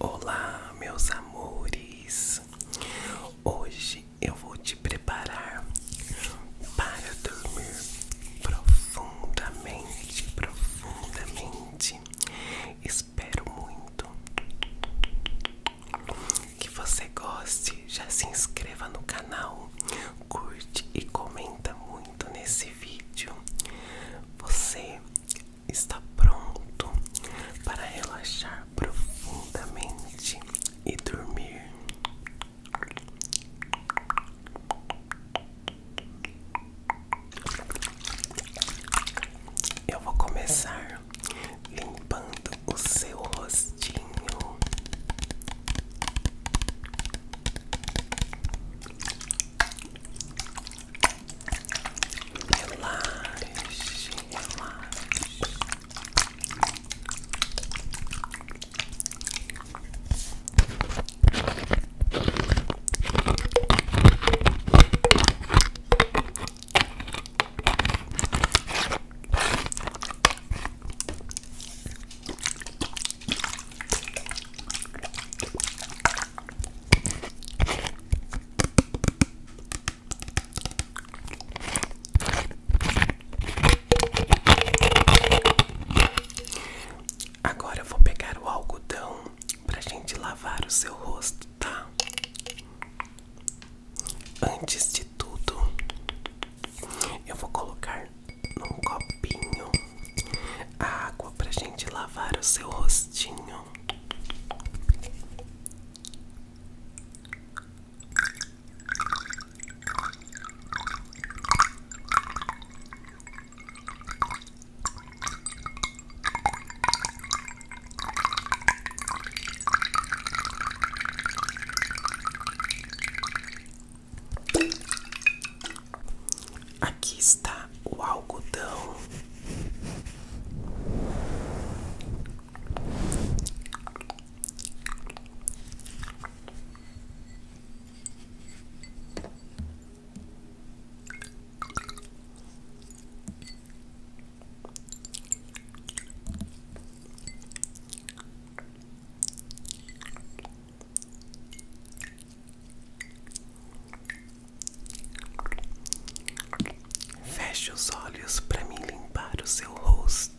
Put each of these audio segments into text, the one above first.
Olá, meus amores. Hoje eu vou te preparar para dormir profundamente, profundamente. Espero muito que você goste, já se inscreva no canal, curte e comenta muito nesse vídeo. Você está pronto para relaxar profundamente e dormir. Eu vou começar limpando o seu rostinho. Relaxe, Agora eu vou pegar o algodão para gente lavar o seu rosto, tá? Antes de tudo, eu vou colocar num copinho a água para gente lavar o seu rostinho. Aqui está o algodão. Feche os olhos para me limpar o seu rosto.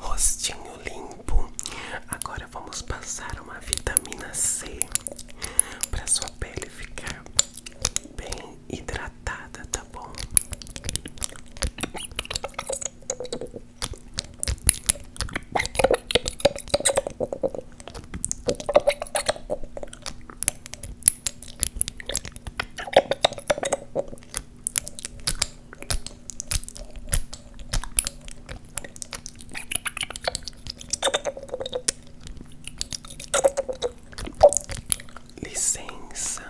Rostinho limpo. Agora vamos passar uma vitamina C para sua pele ficar bem hidratada, tá bom? Licença.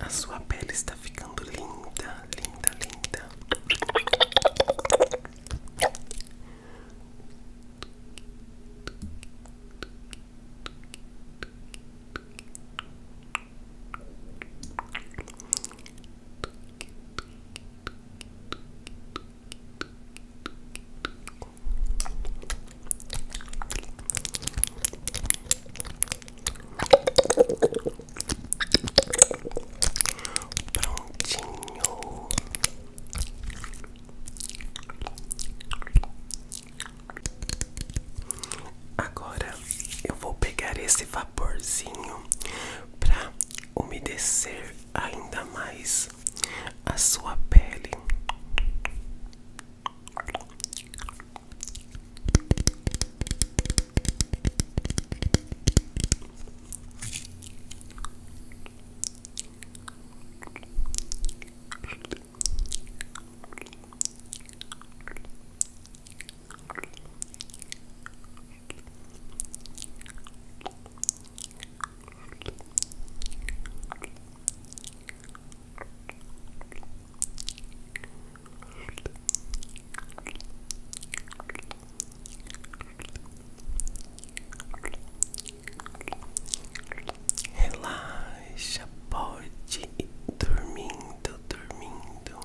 A sua pele está ficando linda, linda, linda. Prontinho. Agora eu vou pegar esse vapor vaporzinho para umedecer ainda mais a sua pele. Relaxa, pode dormindo, dormindo.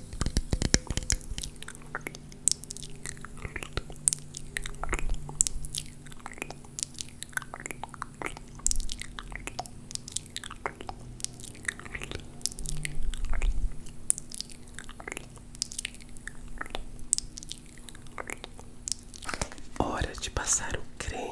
Hora de passar o creme.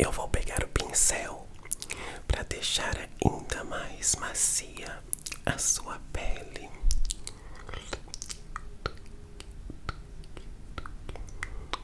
Eu vou pegar o pincel para deixar ainda mais macia a sua pele.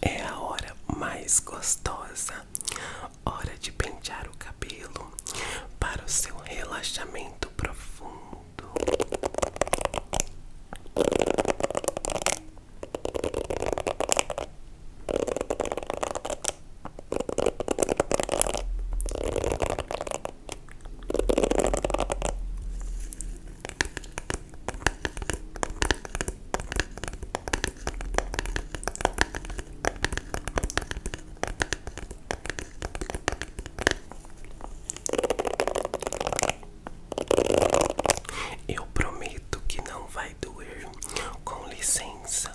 é a hora mais gostosa, hora de pentear o cabelo para o seu relaxamento profundo. Eu prometo que não vai doer. Com licença.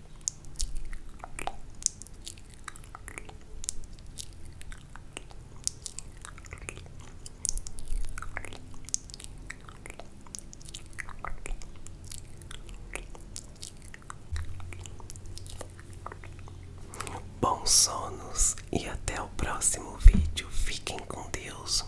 Bons sonos e até o próximo vídeo. Fiquem com Deus.